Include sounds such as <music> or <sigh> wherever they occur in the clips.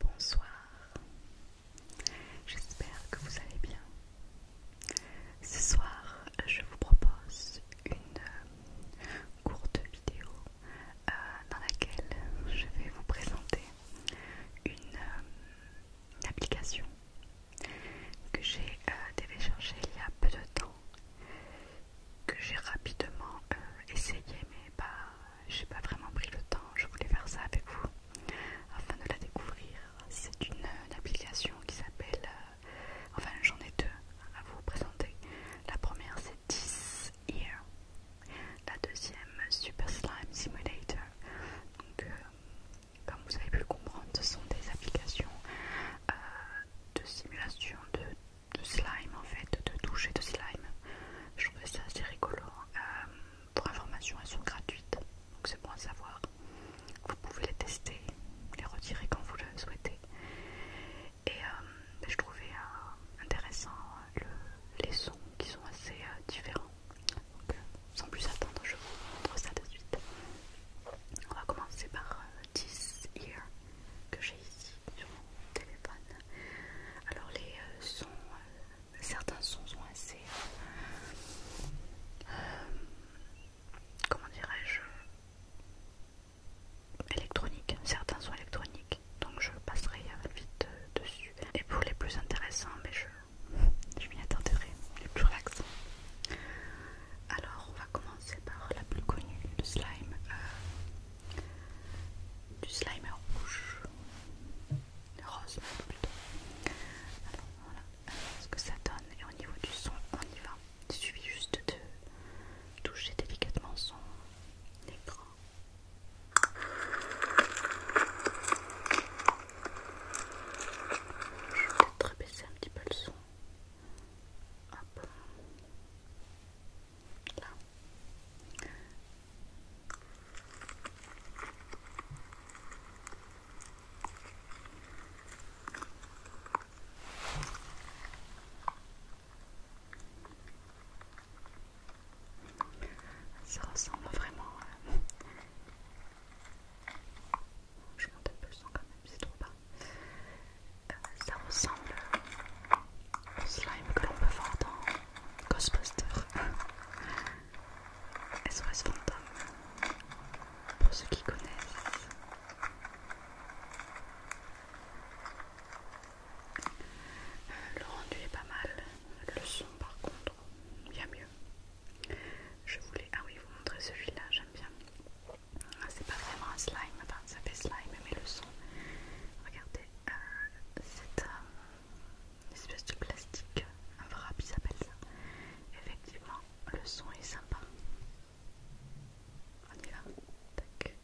Bonsoir, j'espère que vous allez bien. Ce soir, je vous propose une euh, courte vidéo euh, dans laquelle je vais vous présenter une, euh, application que j'ai téléchargée il y a peu de temps que j'ai rapidement euh, essayé mais pas j'ai pas vraiment pris le temps je voulais faire ça avec vous afin de la découvrir c'est une, application qui s'appelle euh, enfin j'en ai deux à vous présenter la première c'est This Ear la deuxième Super Slime Simulator donc euh, comme vous avez pu le comprendre ce sont des applications de simulation de de slime en fait, de toucher de slime. Je trouvais ça assez rigolo. Euh, pour information, elles sont gratuites, donc c'est bon à savoir. Vous pouvez les tester, les retirer quand vous le souhaitez. Et euh, je trouvais euh, intéressant le, les sons qui sont assez différents. Donc, sans plus attendre, je vous montre ça de suite. On va commencer par This Ear que j'ai ici sur mon téléphone. Alors les euh, sons, euh, certains sons sont assez, euh, comment dirais-je, électroniques. Certains sont électroniques, donc je passerai vite dessus. Et pour les plus intéressants, mais ben, je, m'y attarderai, les plus relaxants. Alors on va commencer par la plus connue, le slime du slime rouge, rose plutôt. voilà ce que ça donne. Et au niveau du son, on y va. Il suffit juste de toucher délicatement son écran. Je vais peut-être baisser un petit peu le son. Hop. Ça ressemble vraiment. <laughs> Je monte un peu le son quand même, c'est trop bas ça ressemble au slime que l'on peut voir dans Ghostbusters <laughs> pour ceux qui connaissent euh, le rendu est pas mal le son par contre il y a mieux je voulais ah oui vous montrer celui là j'aime bien ah, c'est pas vraiment un slime, enfin ça fait slime, mais le son. Regardez, euh, c'est euh, une espèce de plastique, un wrap, il s'appelle ça. Effectivement, le son est sympa. On y va. Tac.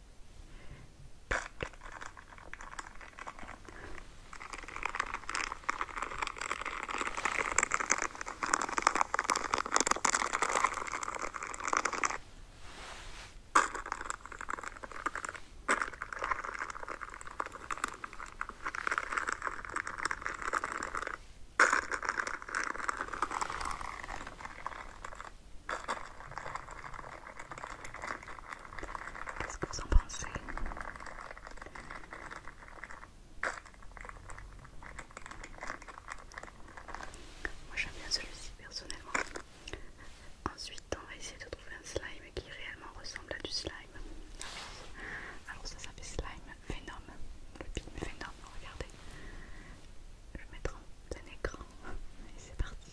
Qu'est-ce que vous en pensez moi j'aime bien celui-ci personnellement. Ensuite on va essayer de trouver un slime qui réellement ressemble à du slime. Alors ça s'appelle slime Venom. Le film Venom, regardez. Je vais mettre un écran et c'est parti.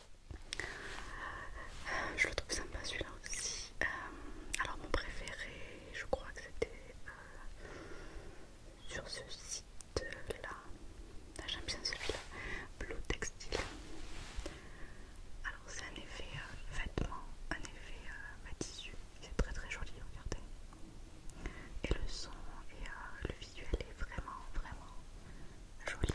je le trouve sympa celui-là aussi. Euh, alors mon préféré, je crois que c'était euh, sur ce site-là. Ah, j'aime bien celui-là. Blue Textile. Alors c'est un effet euh, vêtement, un effet tissu. C'est très très joli, regardez. Et le son et le visuel est vraiment vraiment joli.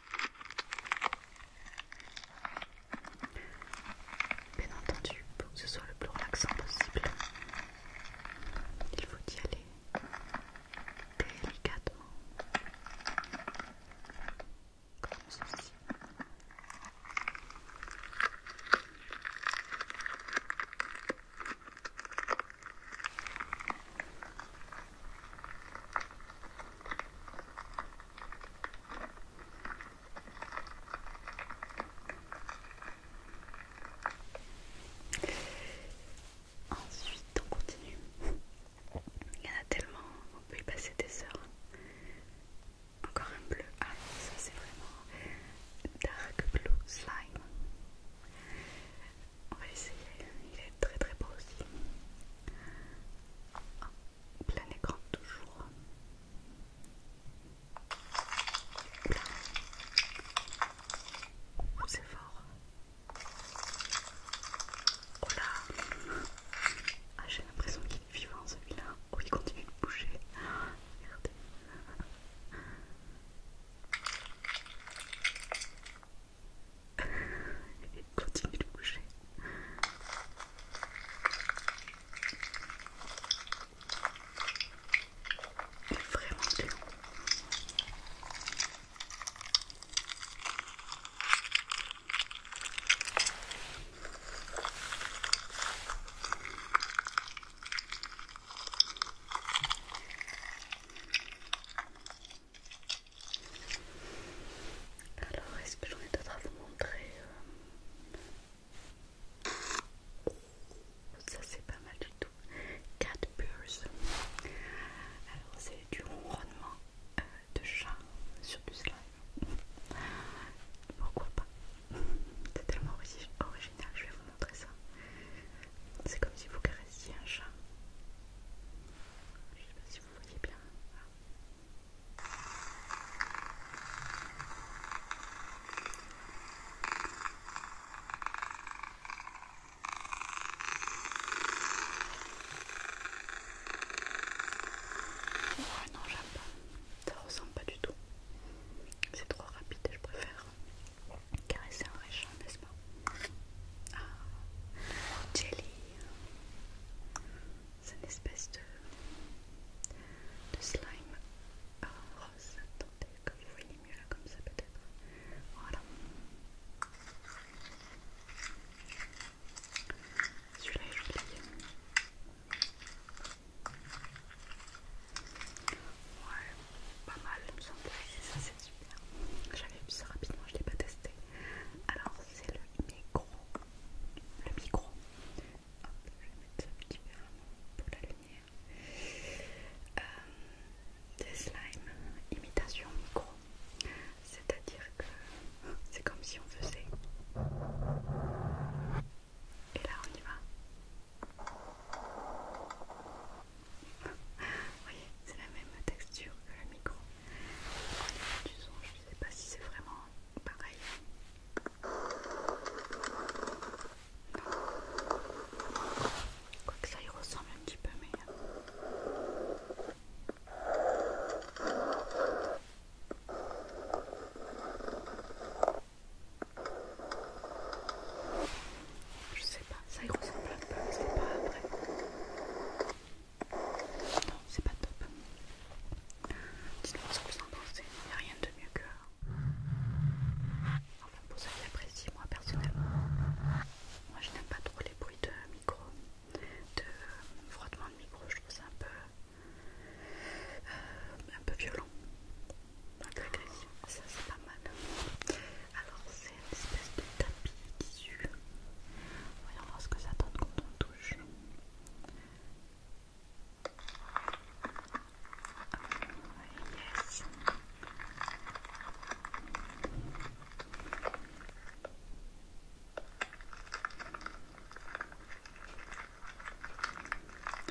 Bien entendu, pour que ce soit le plus relaxant possible, il faut y aller délicatement, comme ceci. Ensuite, on continue. Il y en a tellement, on peut y passer des heures. Encore un bleu. Ah, ça c'est vraiment Dark Blue Slime. On va essayer, il est très très beau aussi. plein écran toujours. Oh, c'est fort. Oh ah, là j'ai l'impression qu'il est vivant celui-là. Oh il continue de bouger. Regardez et <laughs> continue de bouger. Il est vraiment dur. Alors, est-ce que j'en ai d'autres à vous montrer euh? Ça, c'est pas mal du tout. Cat beurs. Alors, c'est du ronronnement euh, de chat sur du slime. Pourquoi pas C'est tellement original, je vais vous montrer ça. C'est comme si vous caressiez un chat. Je sais pas si vous voyez bien. Ah. non, j'aime pas. Ça ressemble pas du tout. C'est trop rapide et je préfère caresser un nest ah, Jelly, c'est une espèce de, slime ah, rose. Attendez, que vous voyez mieux là, comme ça peut-être. Voilà. Celui-là est joli. Ouais, pas mal, il me semble. Ça super. J'avais vu ça rapidement, je l'ai pas testé. Alors c'est le micro. Le micro. je vais mettre ça un petit pour la lumière. Euh, des slimes imitation micro. C'est-à-dire que c'est comme si on faisait. Et là on y va. Vous voyez, c'est la même texture que le micro. du son, je ne sais pas si c'est vraiment pareil. Non. que ça y ressemble un petit peu, mais. Euh. Je sais pas, ça y ressemble un peu, c'est pas vrai. Non, c'est pas top. Dites-moi ce que vous en pensez, il n'y a rien de mieux que. Enfin, pour ça, j'apprécie moi personnellement. Moi, je n'aime pas trop les bruits de micro, de frottement de micro, je trouve ça un peu. Euh, un peu violent, Donc peu ça c'est pas mal. Alors, c'est une espèce de tapis tissu. Voyons voir ce que ça donne quand on touche.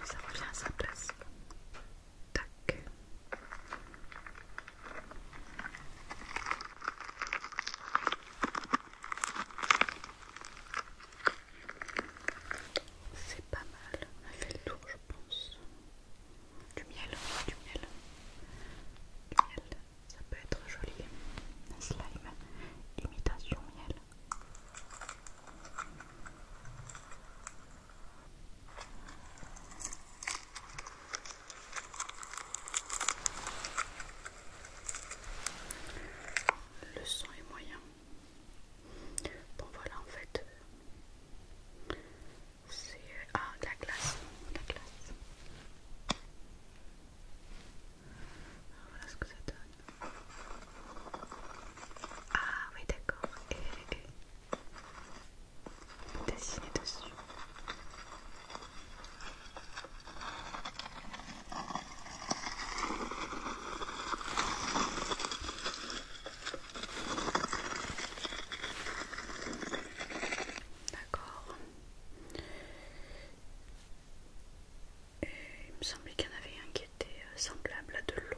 Ça revient à sa place. C'est pas mal, on a fait le tour je pense. Du miel, du miel. Du miel, ça peut être joli. Un slime, imitation miel. Le son est moyen. Bon voilà en fait. Euh, c'est... Euh, ah, la glace. la glace. voilà ce que ça donne. Ah oui d'accord. et dessiner dessus. D'accord. il me semblait qu'il y en avait un qui était euh, semblable à de l'eau.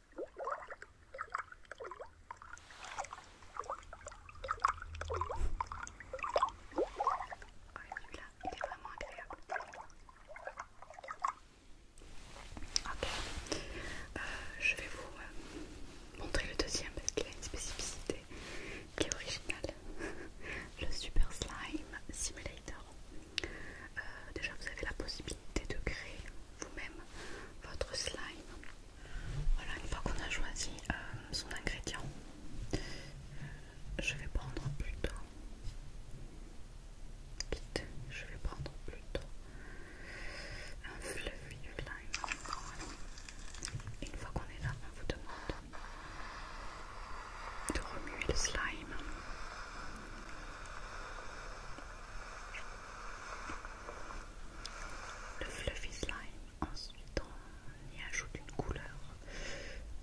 celui-là, il est vraiment agréable. Ok, euh, je vais vous euh, montrer le deuxième parce qu'il a une spécificité qui est originale. <laughs> le Super Slime Simulator. Euh, déjà, vous avez la possibilité de créer vous-même votre slime. Voilà, une fois qu'on a choisi euh, son ingrédient, je vais prendre plutôt. je vais prendre plutôt un fluffy slime. Une fois qu'on est là, on vous demande de remuer le slime le fluffy slime. Ensuite, on y ajoute une couleur.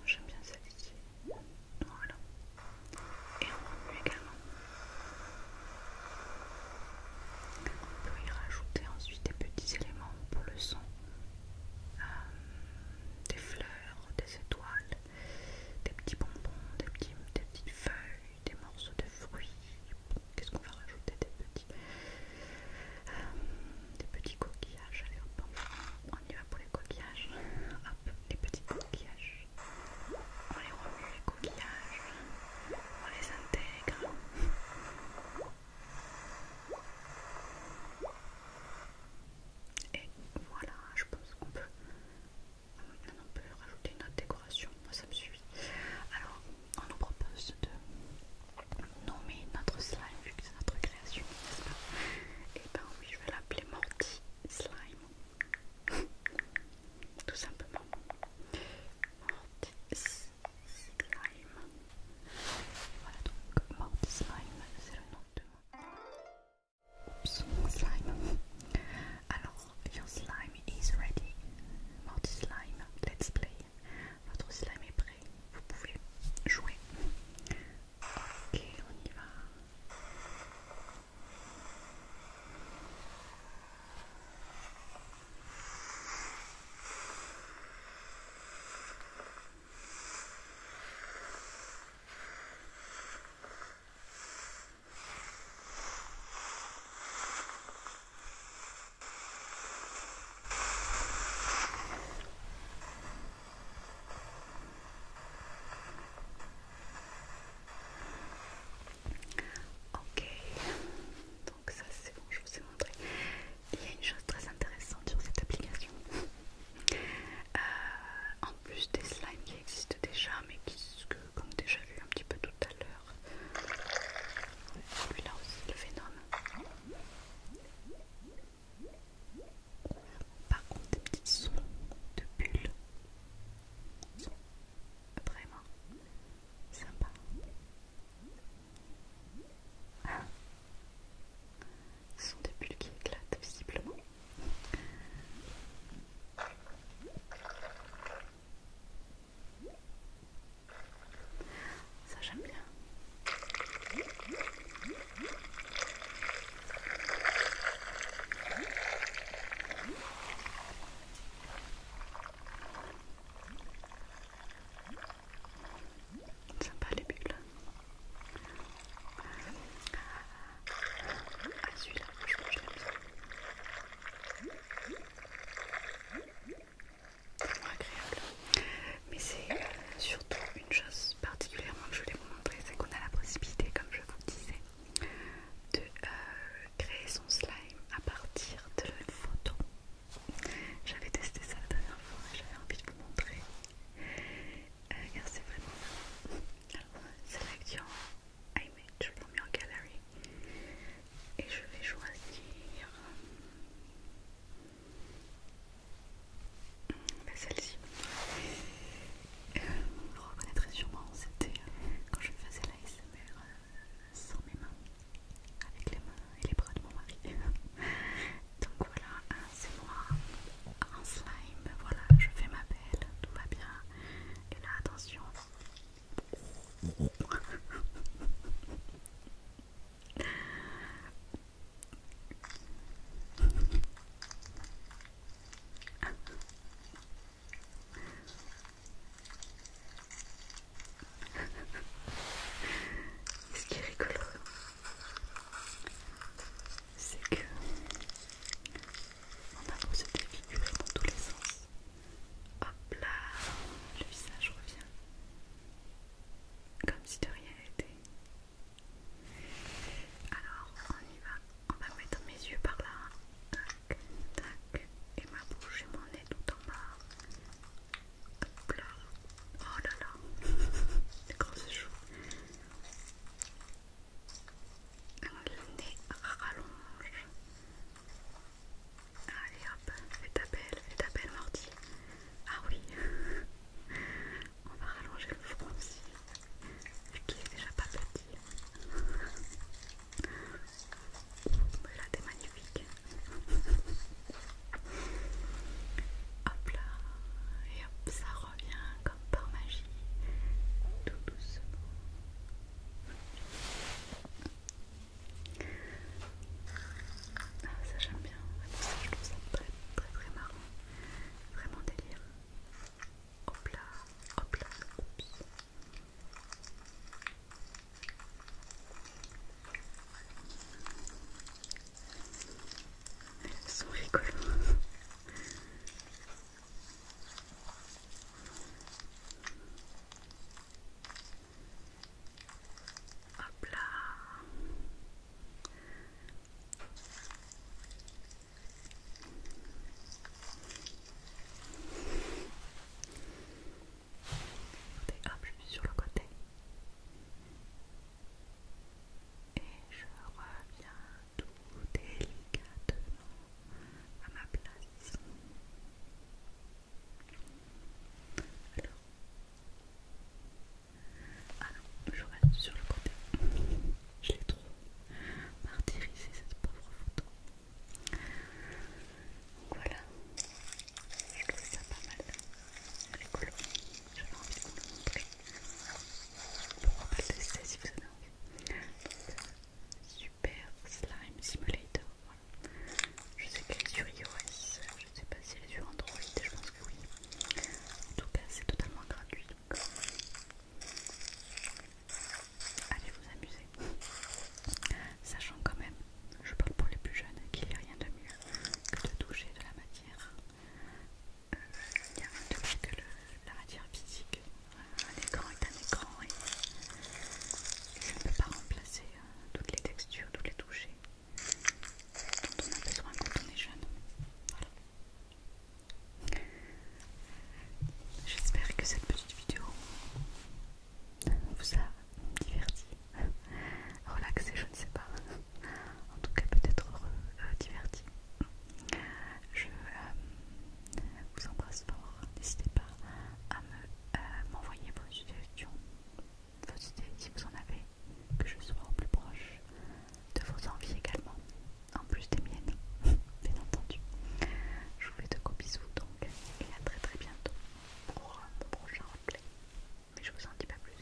J'aime bien celle-ci. Voilà. Et on remue également. On peut y rajouter ensuite des petits éléments pour le son. Euh, des fleurs, des étoiles, des petits bonbons, des, petits, des petites feuilles, des morceaux de fruits. Qu'est-ce qu'on va rajouter Des petits, euh, des petits coquillages. Allez, hop, on y va pour les coquillages. Hop, les petits coquillages. On les remue, les coquillages. On les intègre. Et voilà, je pense qu'on peut on peut rajouter une autre décoration, moi ça me suffit. Alors, on nous propose de nommer notre slime vu que c'est notre création, n'est-ce pas Et eh ben oui, je vais l'appeler Morty Slime, <laughs> tout simplement. Morty Slime. Voilà donc, Morty Slime, c'est le nom de. Oups, slime. <laughs> Alors, Your slime is ready. Morty slime, let's play. Votre slime est prêt. Vous pouvez jouer. Ok, on y va. Ok, donc ça c'est bon, je vous ai montré. Il y a une chose très intéressante sur cette application. Euh, en plus des slimes qui existent déjà mais qui, que comme déjà vu un petit peu tout à l'heure. Celui-là aussi, le phénomène. Par contre, des petits sons de bulles vraiment sympa ah. Ce sont des bulles qui éclatent visiblement. Ça j'aime bien. pas les bulles à ah, celui-là, je que agréable. Mais c'est euh, surtout une chose particulièrement que je voulais vous montrer, c'est qu'on a la possibilité, comme je vous disais, de euh, créer son slime à partir de photo. J'avais testé ça la dernière fois et j'avais envie de vous montrer. Regardez euh, c'est vraiment... Alors, <laughs> c'est l'action made, je l'ai en galerie. Et je vais choisir euh, bah, celle-ci. vous vous reconnaîtrez sûrement, c'était euh, quand je faisais l'ASMR euh, sans mes mains, avec les mains et les bras de mon mari. <laughs> Donc voilà, hein, c'est moi en slime. Voilà, je fais ma belle, tout va bien. Et là, attention. C'est ce qui est rigolo c'est que on a posé des défigurer dans tous les sens. Hop là, le visage revient. Comme si de rien n'était. Alors, on y va. On va mettre mes yeux par là. Tac, tac. Et ma bouche et mon nez tout en bas. Hop là. Oh là là. <laughs> Les grosses chaud le nez rallonge. Allez hop, fais ta belle, fais ta belle Morty. Ah oui, <laughs> on va rallonger le front aussi, vu qu'il est déjà pas petit. là t'es magnifique. <laughs> Hop là, et hop, ça revient comme par magie, tout doucement. Ah, ça j'aime bien, ça, je trouve ça très très très marrant, vraiment délire. Hop là, hop là, Elles sont rigolos. Hop là. hop, je suis sur le côté. Et je reviens tout délicatement à ma place. Alors, ah non, je reste sur le côté. Je l'ai trop martyrisé cette pauvre photo. Donc voilà, je trouve ça pas mal. Elle est cool. J'avais envie de vous le montrer. Pourquoi pas le tester si vous avez envie Super Slime Simulator. Je sais qu'elle est sur iOS, je sais pas si elle est sur Android, je pense que oui. En tout cas, c'est totalement gratuit. Allez vous amuser. Sachant quand même, je parle pour les plus jeunes, qu'il n'y a rien de mieux que de toucher de la matière il y a un truc que la matière physique. Euh, un écran est un écran et je ne peux pas remplacer euh, toutes les textures, toutes les touchés dont on a besoin quand on est jeune. J'espère que cette petite vidéo vous a diverti, relaxé, je ne sais pas. En tout cas, peut-être heureux, diverti. Je euh, vous embrasse fort. N'hésitez pas à euh, m'envoyer vos suggestions, vos idées si vous en avez, que je sois au plus proche de vos envies également, en plus des miennes, <laughs> bien entendu. Je vous fais de gros bisous donc et à très très bientôt pour euh, mon prochain replay. Mais je vous en dis pas plus.